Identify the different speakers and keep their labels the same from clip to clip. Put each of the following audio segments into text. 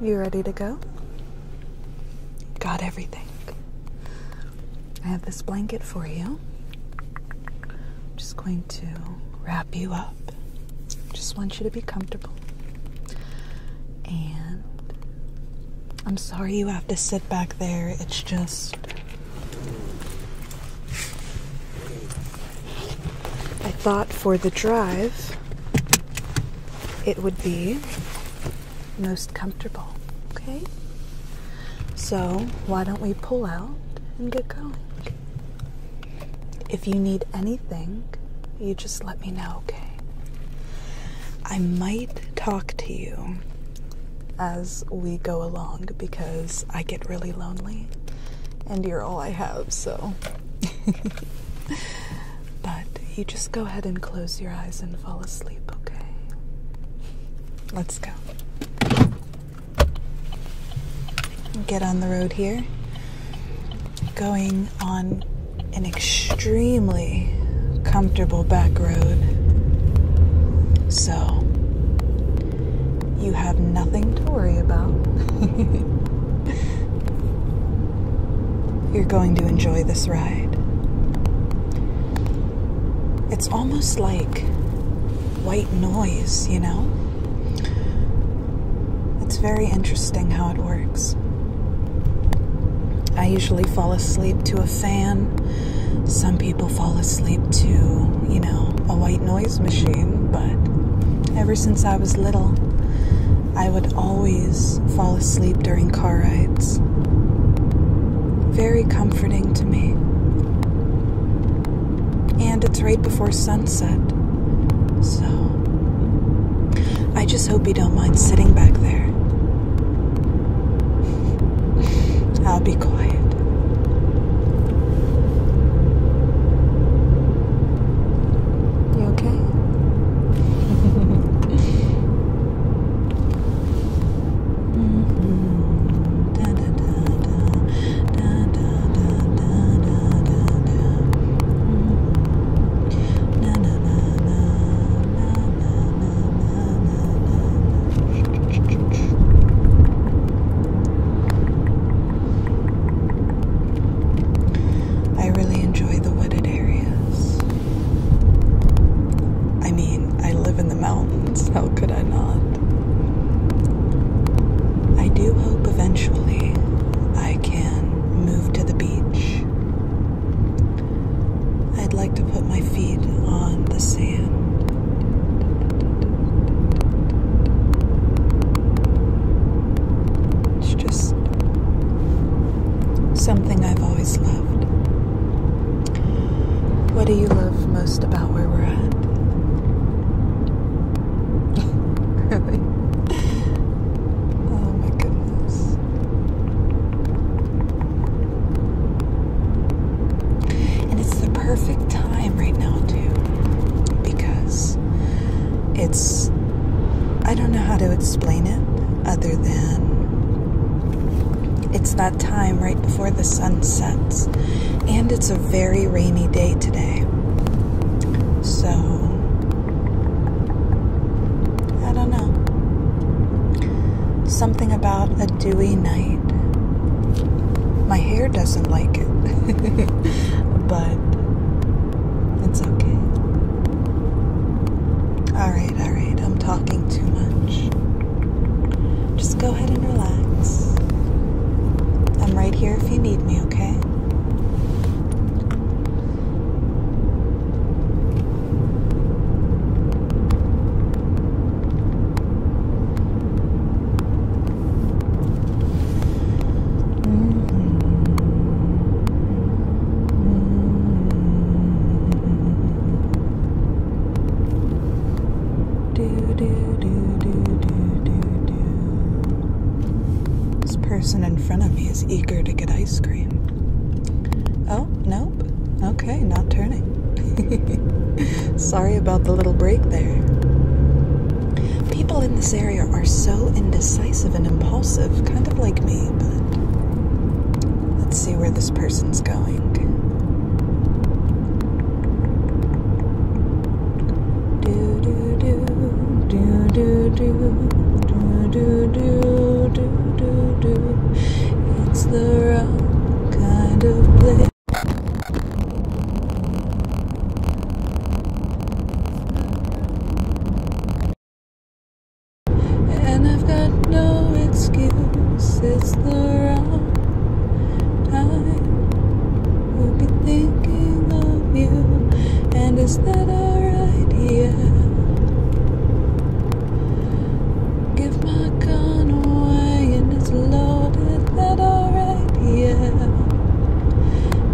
Speaker 1: You ready to go? Got everything. I have this blanket for you. I'm just going to wrap you up. Just want you to be comfortable. And I'm sorry you have to sit back there. It's just. I thought for the drive it would be most comfortable. Okay? So, why don't we pull out and get going? If you need anything, you just let me know, okay? I might talk to you as we go along because I get really lonely and you're all I have, so but you just go ahead and close your eyes and fall asleep, okay? Let's go. Get on the road here. Going on an extremely comfortable back road. So, you have nothing to worry about. You're going to enjoy this ride. It's almost like white noise, you know? It's very interesting how it works. I usually fall asleep to a fan. Some people fall asleep to, you know, a white noise machine, but ever since I was little, I would always fall asleep during car rides. Very comforting to me. And it's right before sunset, so I just hope you don't mind sitting back there. I'll be quiet. You okay? Mm-hmm. I really enjoy the wooded areas. I mean, I live in the mountains, how could I not? I do hope eventually I can move to the beach. I'd like to put my feet on the sand. It's just something I've always loved. What do you love most about where we're at? really? Oh my goodness. And it's the perfect time right now, too, because it's, I don't know how to explain it other than it's that time right before the sun sets. And it's a very rainy day today. So, I don't know. Something about a dewy night. My hair doesn't like it, but it's okay. Alright, alright, I'm talking too much. Just go ahead and relax. I'm right here if you need me, okay? This person in front of me is eager to get ice cream. Oh, nope. Okay, not turning. Sorry about the little break there. People in this area are so indecisive and impulsive, kind of like me, but let's see where this person's going.
Speaker 2: Do do do do do do do do do do do It's the wrong kind of place. And I've got no excuse, it's the wrong time. We'll be thinking of you, and is that alright? Yeah. Give my gun away, and it's loaded, that alright? idea.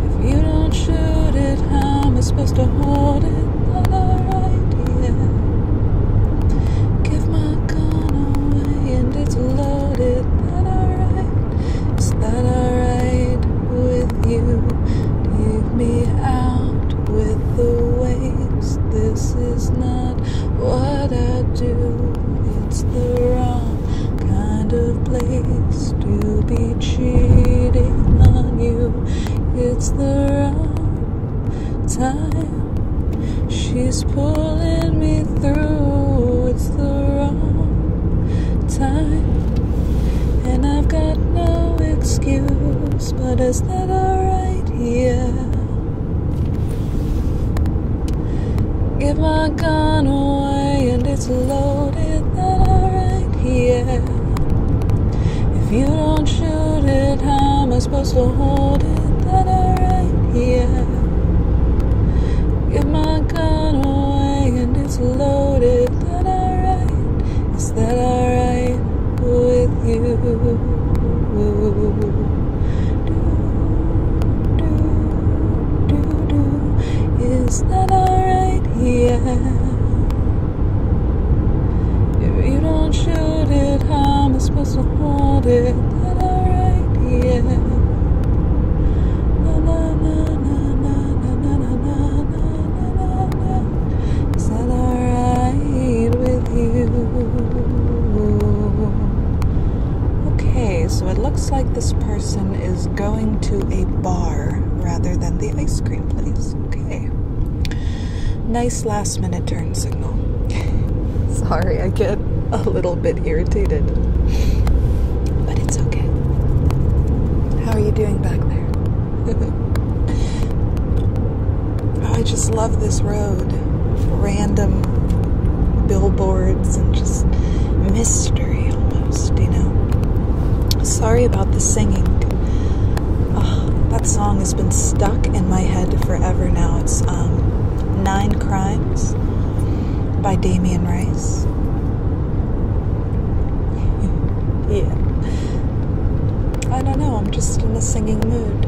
Speaker 2: If you don't shoot it, how am I supposed to hold it? Another idea. Give my gun away and it's loaded. That alright? Is that alright with you? Leave me out with the waves. This is not what I do. It's the wrong kind of place to be cheating on you. It's the wrong time. She's pulling me through. It's the wrong time. And I've got no excuse, but is that alright? here? If my my gun away and it's loaded that I right here. If you don't shoot it, how am I supposed to hold it that I right here? Give my gun away and it's loaded that I right. Is that alright with you? Do, do, do, do. Is that alright? Yeah. If you don't shoot it, how am I supposed to hold it? Is that alright? Yeah. Na na na na na na na na na na na. Is that alright with you? Okay, so it looks like this person is
Speaker 1: going to a bar rather than the ice cream place. Okay. Nice last minute turn signal. Sorry, I get a little bit irritated.
Speaker 2: But it's okay.
Speaker 1: How are you doing back there? oh, I just love this road. Random billboards and just mystery. Sorry about the singing. that song has been stuck in my head forever now. It's um, Nine Crimes by Damien Rice. yeah. I don't know, I'm just in a singing mood.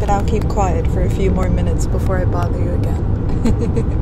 Speaker 1: But I'll keep quiet for a few more minutes before I bother you again.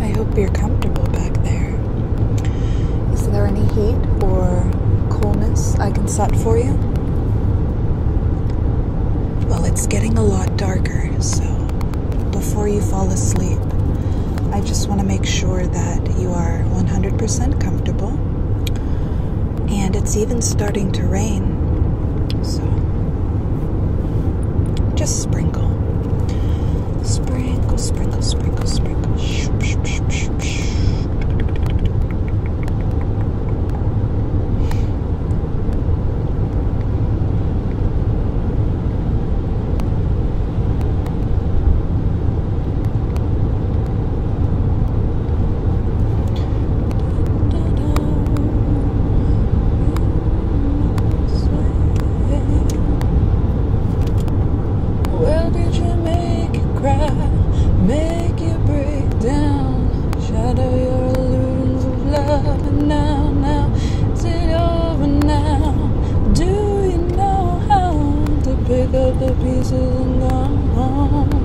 Speaker 1: I hope you're comfortable back there. Is there any heat or coolness I can set for you? Well, it's getting a lot darker, so before you fall asleep, I just want to make sure that you are 100% comfortable. And it's even starting to rain, so just sprinkle. Sprinkle, sprinkle, sprinkle, sprinkle.
Speaker 2: Well, did you make it cry? Make make you break down. shatter your illusions of love, and now, now, it's it over now. Do you know how to pick up the pieces and go home?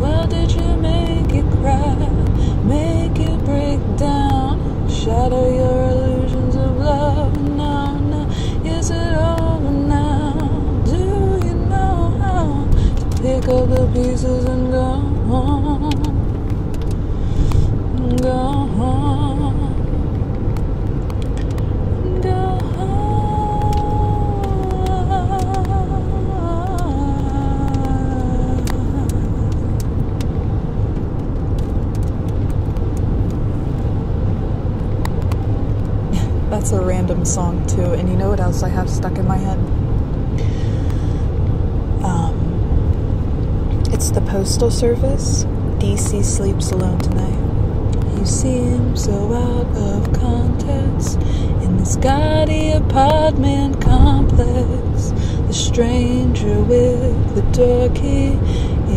Speaker 2: Well, did you make it cry, make you break down? shatter your illusions of love, and now, now, is it over now? Do you know how to pick up the pieces and go home? Go home. Go home.
Speaker 1: That's a random song, too. And you know what else I have stuck in my head? Um, it's the Postal Service. DC sleeps alone tonight.
Speaker 2: You seem so out of context in this gaudy apartment complex. The stranger with the door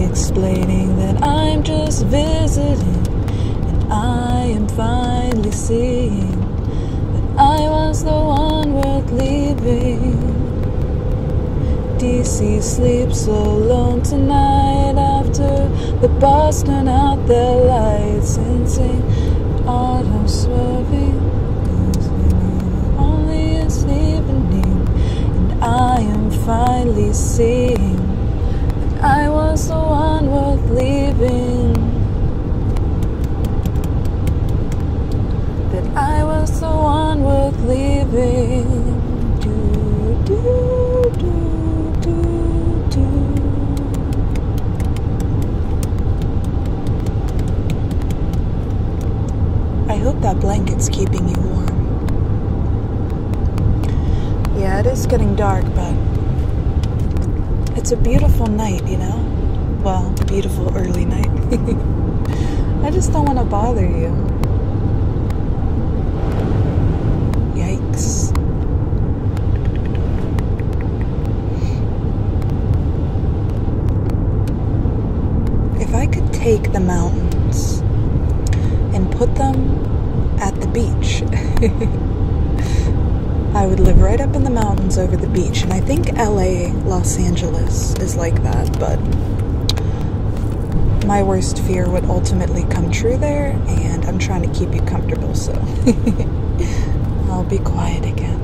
Speaker 2: explaining that I'm just visiting and I am finally seeing that I was the one worth leaving. DC sleeps alone tonight after the bars turn out their lights and sing autumn swerving. Only is evening, and I am finally seeing. I was the one worth leaving. That I was the one worth leaving. Do, do, do, do, do.
Speaker 1: I hope that blanket's keeping you warm. Yeah, it is getting dark, but it's a beautiful night, you know? Well, beautiful early night. I just don't want to bother you. Yikes. If I could take the mountains and put them at the beach. I would live right up in the mountains over the beach. And I think LA, Los Angeles is like that, but my worst fear would ultimately come true there. And I'm trying to keep you comfortable, so I'll be quiet again.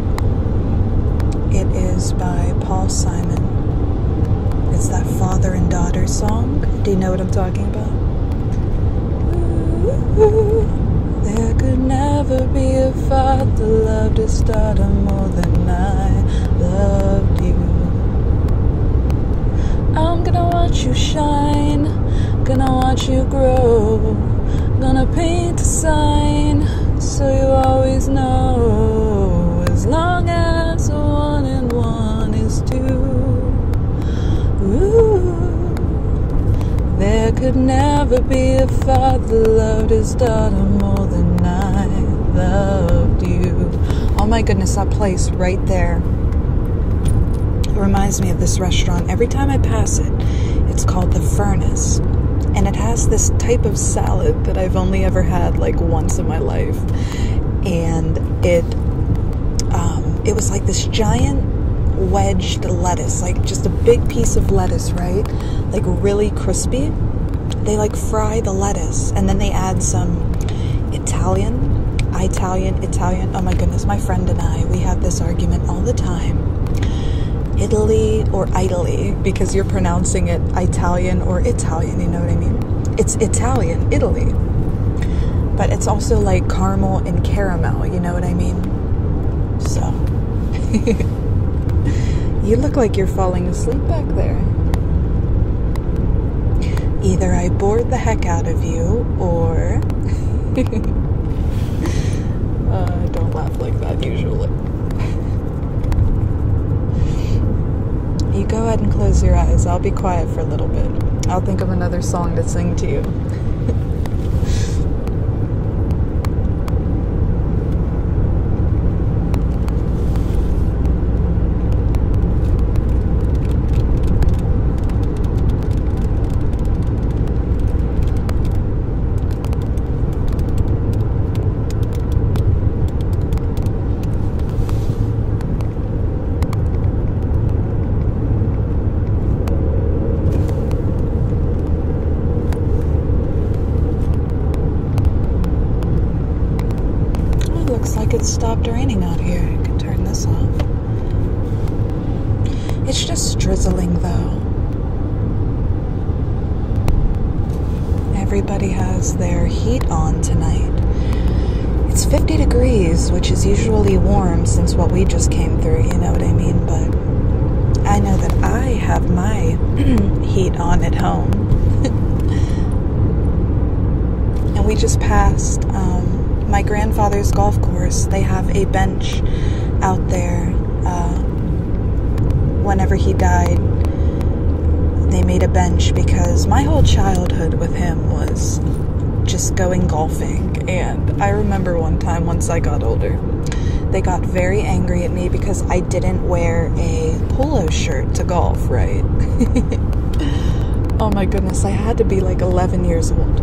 Speaker 1: It is by Paul Simon. It's that father and daughter song. Do you know what I'm talking about?
Speaker 2: there could never be a father loved his daughter more than I loved you. I'm gonna watch you shine, gonna watch you grow, gonna paint a sign so you always know as long as one and one is two. Ooh. There could never be a father loved his daughter more than I love you. Oh my goodness, that place right
Speaker 1: there. It reminds me of this restaurant. Every time I pass it, it's called The Furnace. And it has this type of salad that I've only ever had like once in my life. And it um, it was like this giant wedged lettuce, like just a big piece of lettuce, right? Like really crispy. They like fry the lettuce and then they add some Italian, Italian, Italian. Oh my goodness, my friend and I, we have this argument all the time Italy or Italy because you're pronouncing it Italian or Italian, you know what I mean? It's Italian, Italy. But it's also like caramel and caramel, you know what I mean? So. you look like you're falling asleep back there. Either I bored the heck out of you or. uh, don't laugh like that usually. you go ahead and close your eyes. I'll be quiet for a little bit. I'll think of another song to sing to you. It looks like stopped raining out here. I could turn this off. It's just drizzling though. Everybody has their heat on tonight. It's 50 degrees, which is usually warm since what we just came through, you know what I mean? But I know that I have my heat on at home. and we just passed um, my grandfather's golf course. They have a bench out there. Uh, whenever he died, they made a bench because my whole childhood with him was just going golfing. And I remember one time, once I got older, they got very angry at me because I didn't wear a polo shirt to golf, right? oh my goodness, I had to be like 11 years old.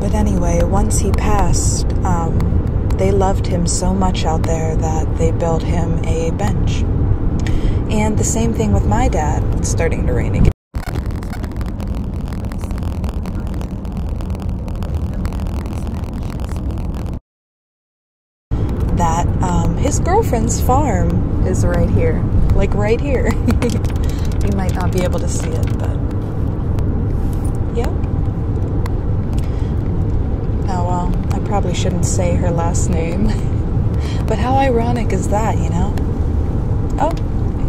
Speaker 1: But anyway, once he passed, um, they loved him so much out there that they built him a bench. And the same thing with my dad. It's starting to rain again. That um, his girlfriend's farm is right here, like right here. you might not be able to see it, but Yep. Oh well, I probably shouldn't say her last name. but how ironic is that, you know? Oh,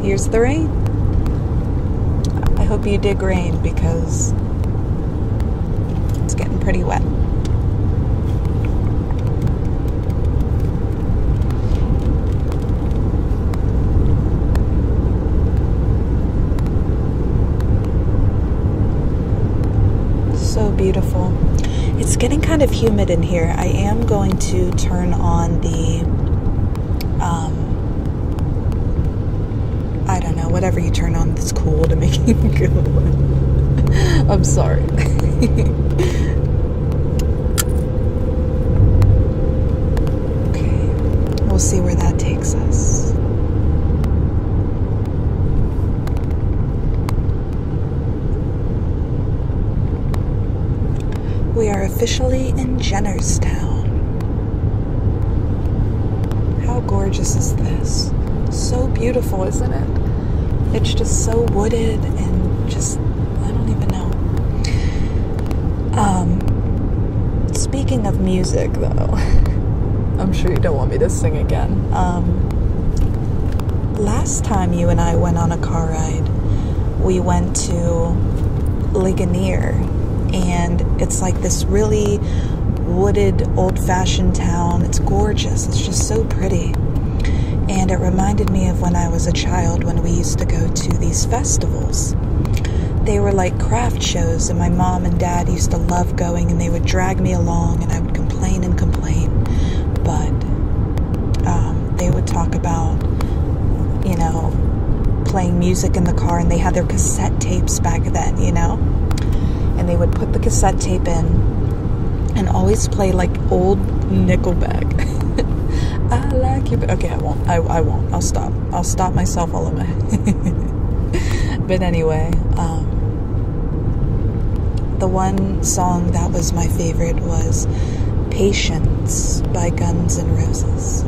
Speaker 1: here's the rain. I hope you dig rain because it's getting pretty wet. So beautiful. It's getting kind of humid in here. I am going to turn on the, um, I don't know, whatever you turn on that's cool to make it go. I'm sorry. okay, we'll see where that takes. We are officially in Jennerstown. How gorgeous is this? So beautiful, isn't it? It's just so wooded and just, I don't even know. Um, speaking of music, though, I'm sure you don't want me to sing again. Um, last time you and I went on a car ride, we went to Ligonier, and it's like this really wooded, old fashioned town. It's gorgeous, it's just so pretty. And it reminded me of when I was a child when we used to go to these festivals they were like craft shows, and my mom and dad used to love going, and they would drag me along, and I would complain and complain. But um, they would talk about, you know, playing music in the car, and they had their cassette tapes back then, you know? And they would put the cassette tape in and always play like old Nickelback. I like you. Okay, I won't. I, I won't. I'll stop. I'll stop myself all in my. but anyway, um, the one song that was my favorite was "Patience" by Guns N' Roses.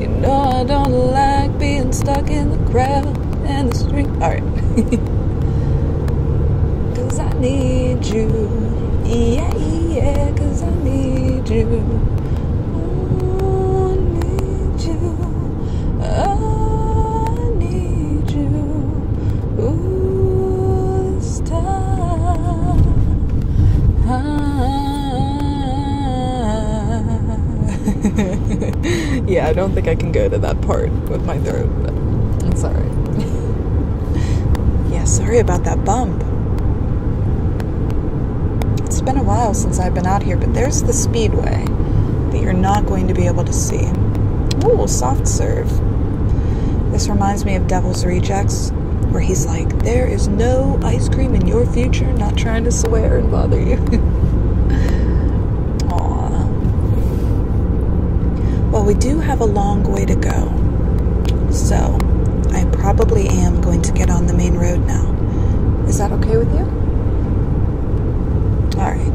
Speaker 2: You know I don't like being stuck in the crowd and the street. Alright. cause I need you. Yeah, yeah, I need you. Ooh, need you. Oh, I need you. Ooh, this time. Ah.
Speaker 1: yeah, I don't think I can go to that part with my throat, I'm sorry. yeah, sorry about that bump. It's been a while since I've been out here, but there's the speedway that you're not going to be able to see. Ooh, soft serve. This reminds me of Devil's Rejects, where he's like, like there is no ice cream in your future. Not trying to swear and bother you. Well, we do have a long way to go. So I probably am going to get on the main road now. Is that okay with you? Alright.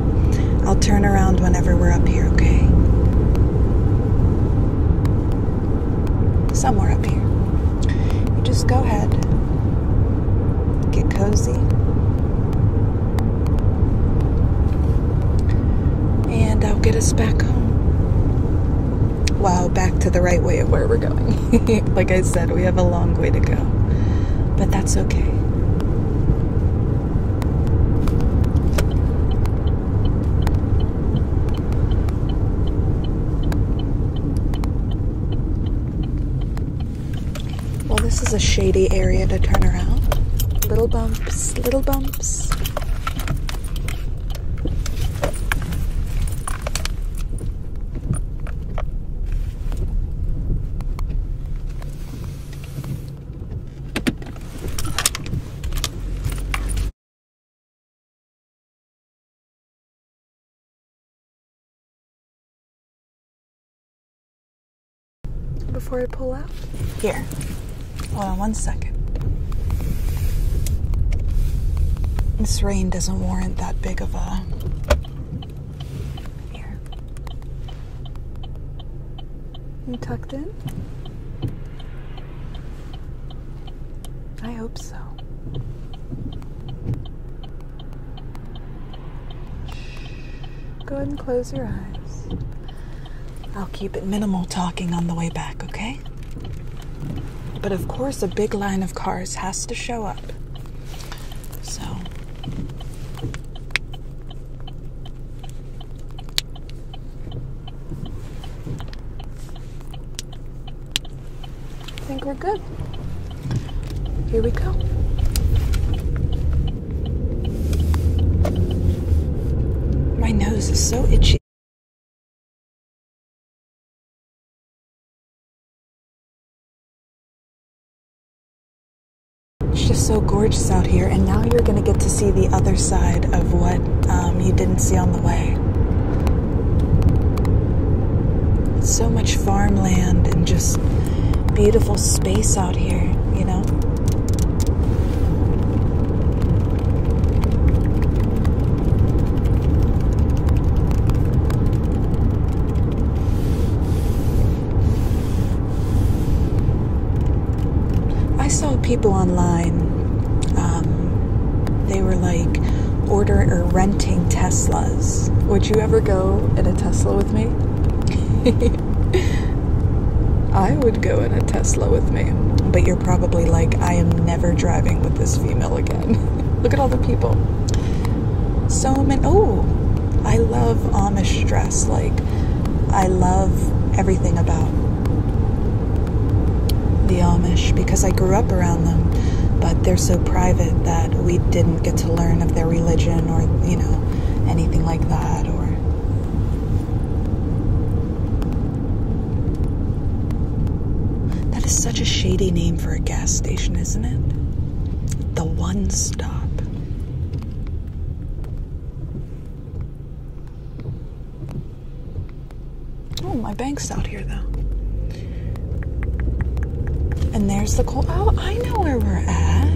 Speaker 1: I'll turn around whenever we're up here, okay? somewhere up here. You just go ahead, get cozy, and I'll get us back home. Wow, back to the right way of where we're going. like I said, we have a long way to go, but that's okay. Well, this is a shady area to turn around. Little bumps, little bumps.
Speaker 2: Before I pull out? Here. Hold on one second.
Speaker 1: This rain doesn't warrant that big of
Speaker 2: a You tucked in?
Speaker 1: I hope so. Go ahead and close your eyes. I'll keep it minimal talking on the way back, okay? But of course, a big line of cars has to show up. So. I think we're good.
Speaker 2: Here we go. My nose is so itchy. It's just so gorgeous out here, and now you're going to get to see the other side of what
Speaker 1: um, you didn't see on the way. It's so much farmland and just beautiful space out here, you know? I saw people online, um, they were like, order or renting Teslas. Would you ever go in a Tesla with me? I would go in a Tesla with me. But you're probably like, I am never driving with this female again. Look at all the people. So many. Oh, I love Amish dress. Like, I love everything about the Amish because I grew up around them, but they're so private that we didn't get to learn of their religion or, you know, anything like that or That is such a shady name for a gas station, isn't it? The one stop. Oh, my bank's out here though. And there's the coal. Oh, I know where we're at.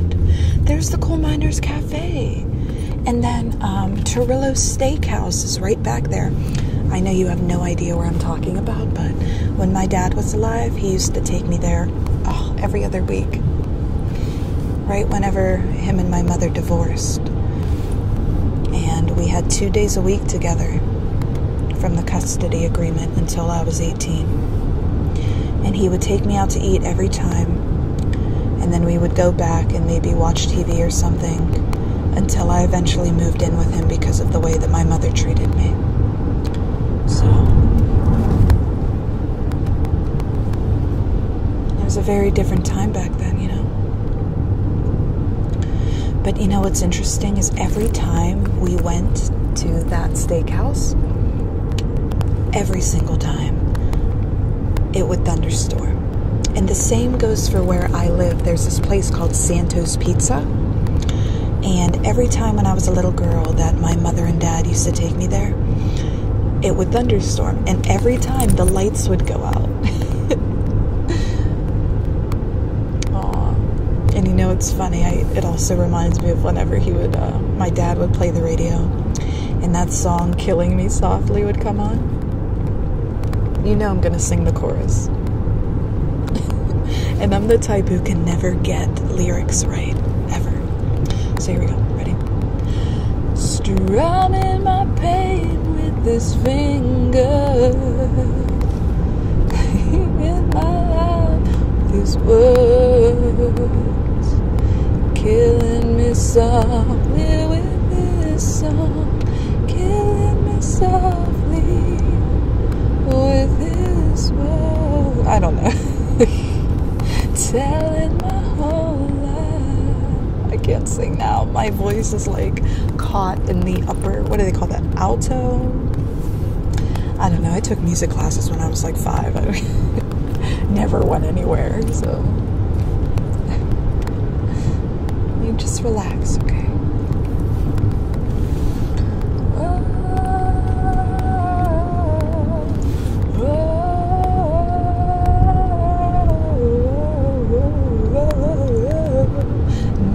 Speaker 1: There's the Coal Miners Cafe. And then um, Turillo Steakhouse is right back there. I know you have no idea where I'm talking about, but when my dad was alive, he used to take me there oh, every other week. Right whenever him and my mother divorced. And we had two days a week together from the custody agreement until I was 18. And he would take me out to eat every time, and then we would go back and maybe watch TV or something until I eventually moved in with him because of the way that my mother treated me. So, it was a very different time back then, you know. But you know what's interesting is every time we went to that steakhouse, every single time, it would thunderstorm. And the same goes for where I live. There's this place called Santos Pizza. And every time when I was a little girl that my mother and dad used to take me there, it would thunderstorm. And every time the lights would go out. and you know, it's funny. it also reminds me of whenever he would, uh, my dad would play the radio, and that song "Killing Me Softly" would come on. You know, I'm gonna sing the chorus. and I'm the type who can never get
Speaker 2: lyrics right ever. So here we go. Ready? Strumming my pain with this finger. killing me softly with this song, killing me softly with this word. I
Speaker 1: don't know.
Speaker 2: Telling my whole
Speaker 1: life. I can't sing now. My voice is like caught in the upper, what do they call that? Alto? I don't know. I took music classes when I was like five. I never went anywhere, so. you just relax, okay?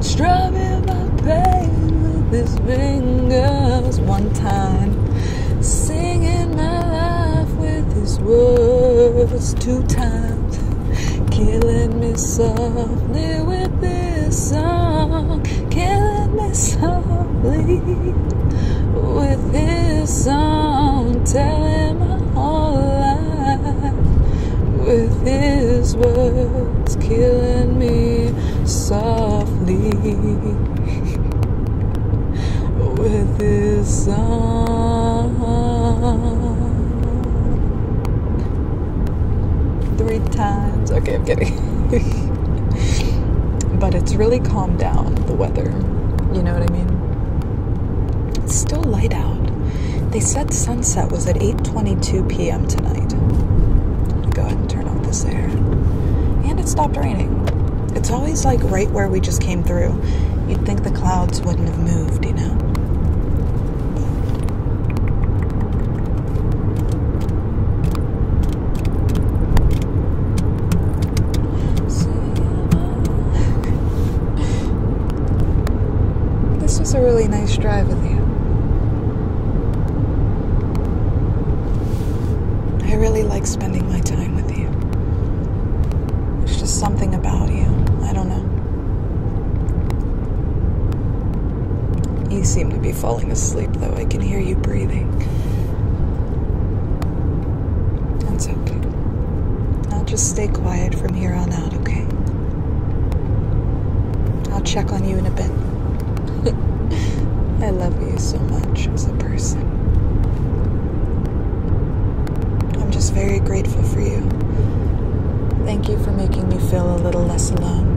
Speaker 2: Strumming my pain with his fingers one time. Singing my life with his words two times. Killing me softly with his song. Killing me softly with his song. Telling my whole life with his words. It's killing me softly with this song. Three times.
Speaker 1: Okay, I'm kidding. but it's really calmed down, the weather. You know what I mean? It's still light out. They said sunset was at 8 22 p.m. tonight. Go ahead and turn off this air. And it stopped raining. It's always like right where we just came through. You'd think the clouds wouldn't have moved, you know? this was a really nice drive with you. I really like spending my time with you. It's just something about you. I don't know. You seem to be falling asleep, though. I can hear you breathing.
Speaker 2: That's okay.
Speaker 1: I'll just stay quiet from here on out okay? I'll check on you in a bit. I love you so much as a person. I'm just very grateful for you. Thank you for making me feel a little less alone.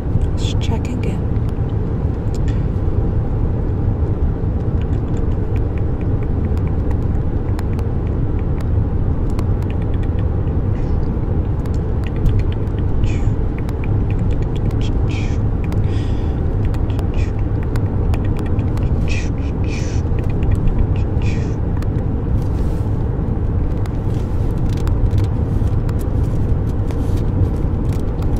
Speaker 1: Let's check again.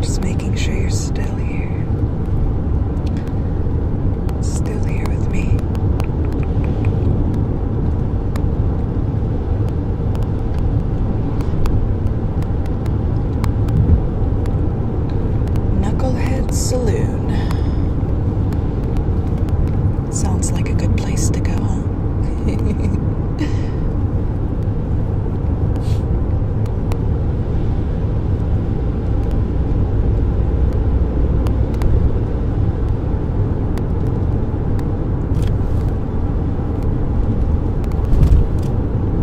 Speaker 1: Just making sure you're still here with me.
Speaker 2: Knucklehead Saloon.
Speaker 1: Sounds like a good place to go, huh?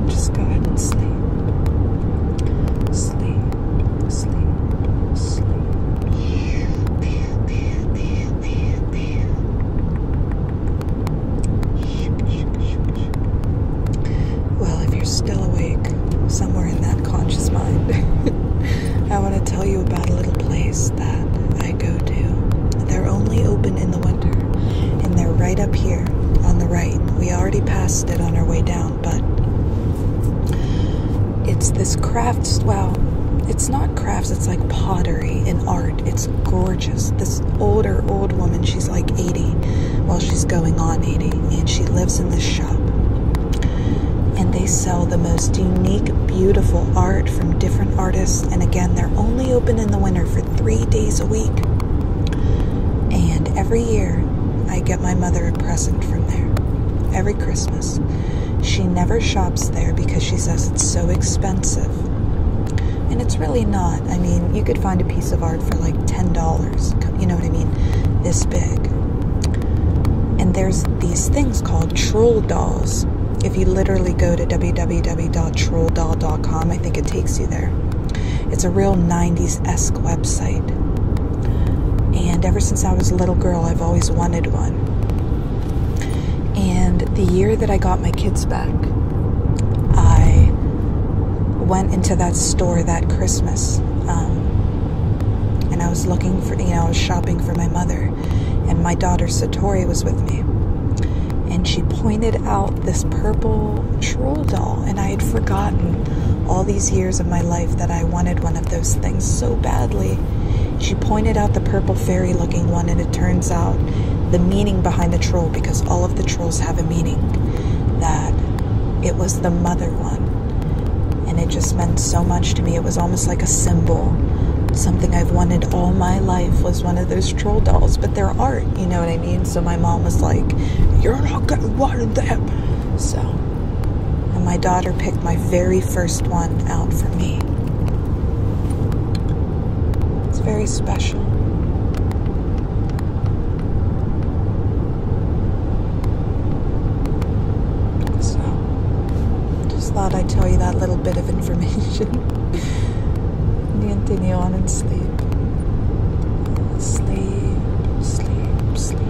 Speaker 2: Just go ahead and sleep. Sleep, sleep, sleep.
Speaker 1: Well, if you're still awake, somewhere in that conscious mind. I want to tell you about a little place that I go to. They're only open in the winter, and they're right up here on the right. We already passed it on our way down, but it's this crafts. Wow, it's not crafts, it's like pottery and art. It's gorgeous. This older, old woman, she's like 80, well, she's going on 80, and she lives in this shop and they sell the most unique, beautiful art from different artists. And again, they're only open in the winter for three days a week. And every year, I get my mother a present from there. Every Christmas. She never shops there because she says it's so expensive. And it's really not. I mean, you could find a piece of art for like $10. You know what I mean? This big. And there's these things called called Troll Dolls. If you literally go to www.trolldoll.com, I think it takes you there. It's a real 90s esque website. And ever since I was a little girl, I've always wanted one. And the year that I got my kids back, I went into that store that Christmas. Um, and I was looking for, you know, I was shopping for my mother and my daughter Satori was with me. And she pointed out this purple troll doll, and I had forgotten all these years of my life that I wanted one of those things so badly. She pointed out the purple fairy looking one, and it turns out the meaning behind the troll, because all of the trolls have a meaning, that it was the mother one and it just meant so much to me. It was almost like a symbol. Something I've wanted all my life was one of those troll dolls, but they're art, you know what I mean? So my mom was like, You're not gonna want that." So, and my daughter picked my very first one out for me. It's very special. So, just thought I'd tell you that little bit of information. Continue on and sleep. Sleep, sleep, sleep.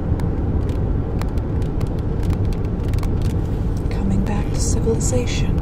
Speaker 1: Coming back to civilization.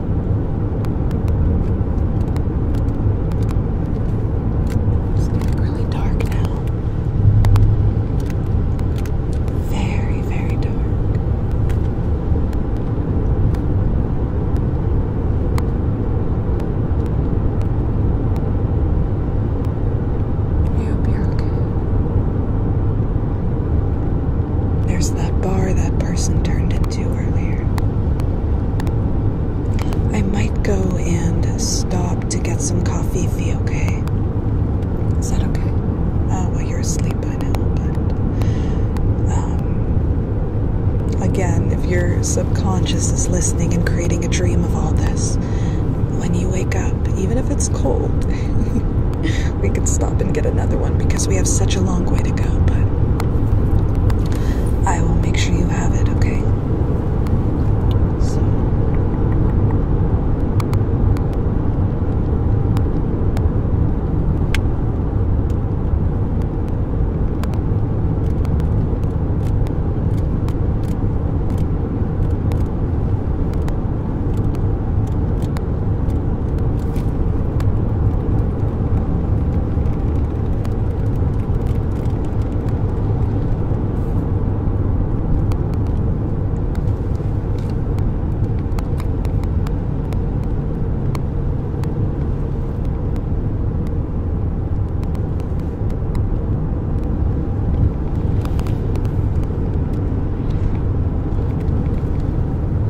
Speaker 1: It's getting really dark now. Very, very dark. I hope you're okay. There's that bar that person turned in I might go and stop to get some coffee if you okay. Is that okay? Uh, well, you're asleep by now,
Speaker 2: um,
Speaker 1: again, if your subconscious is listening and creating a dream of all this, when you wake up, even if it's cold, we could stop and get another one because because we have such a long way to go, but I will make sure you have it, okay?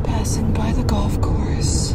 Speaker 2: passing by the golf course.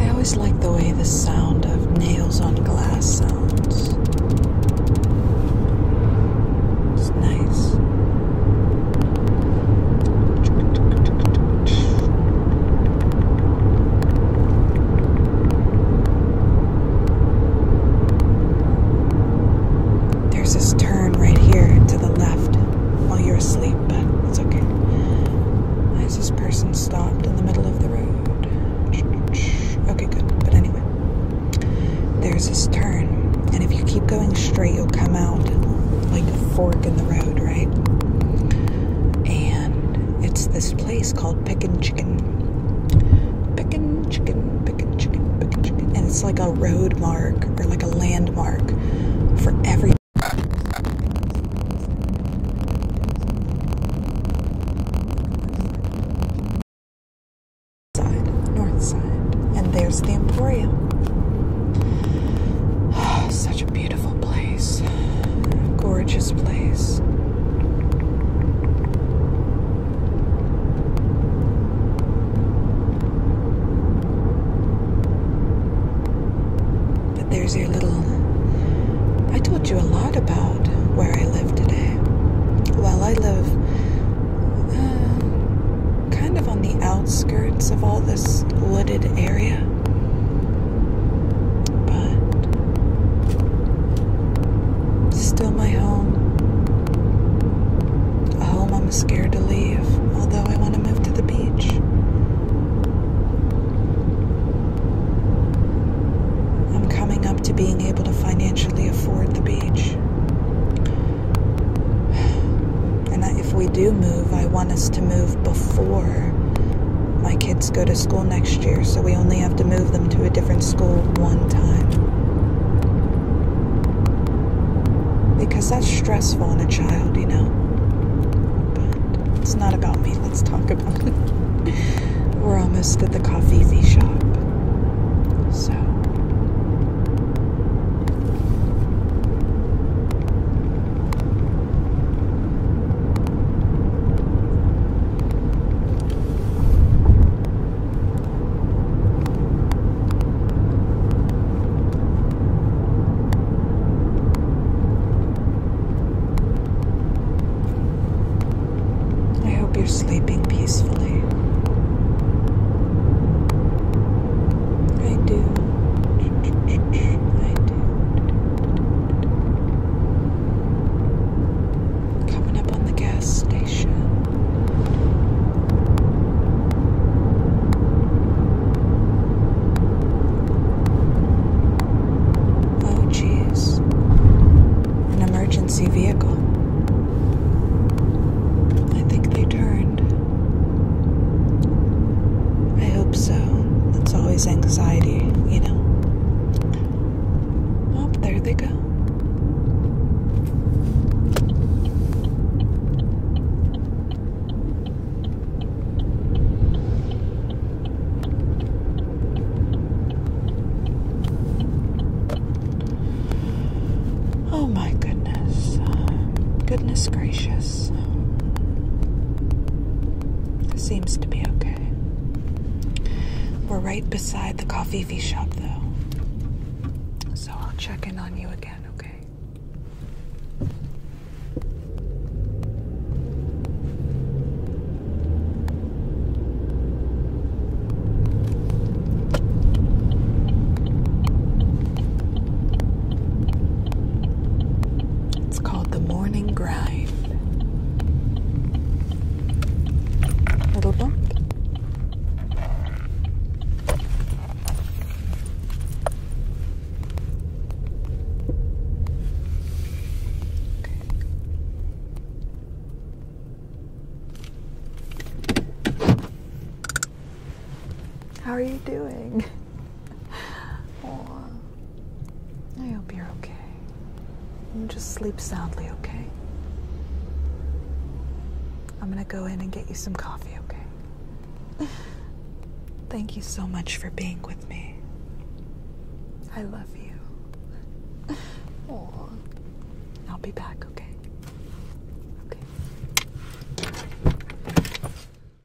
Speaker 1: I always like the way the sound of nails on glass sounds. It's nice. There's this turn right here to the left while you're asleep, but it's okay. As this person stopped in the middle of the road. Okay, good. But anyway, there's this turn, and if you keep going straight, you'll come out like a fork in the road, right? and it's this place called Pickin' Chicken. Pickin' Chicken, Pickin' Chicken, Pickin' Chicken. And it's like a road mark or like a landmark for
Speaker 2: every. Side, north side. And
Speaker 1: there's the Emporium. Such a beautiful beautiful place, gorgeous place. But there's your little. I told you a lot about where I live today. Well, I live uh, kind of on the outskirts of all this wooded area. But still my home. A home I'm scared to leave, although I want to move to the beach. I'm coming up to being able to financially afford the beach. And if we do move, I want us to move before my kids go to school next year, so we only have to move them to a different school one time. Because that's stressful on a child, you know. it's not about me, let's talk about it. We're almost at the coffee shop. So I hope you're sleeping peacefully. I do. I do. Coming up on the gas station. Oh, geez. An emergency vehicle. I think they turned. I hope so it's always anxiety, you know. Oh, there they go. Oh my goodness. Goodness gracious seems to be okay. We're right beside the coffee V shop, though. So I'll check in on you again, okay? It's called The Morning Grind. Little bump. How are you doing? I hope you're okay. And just sleep soundly, okay? I'm gonna go in and get you some coffee, okay? Thank you so much for being with me. I love you. Aww.
Speaker 2: I'll be back, okay?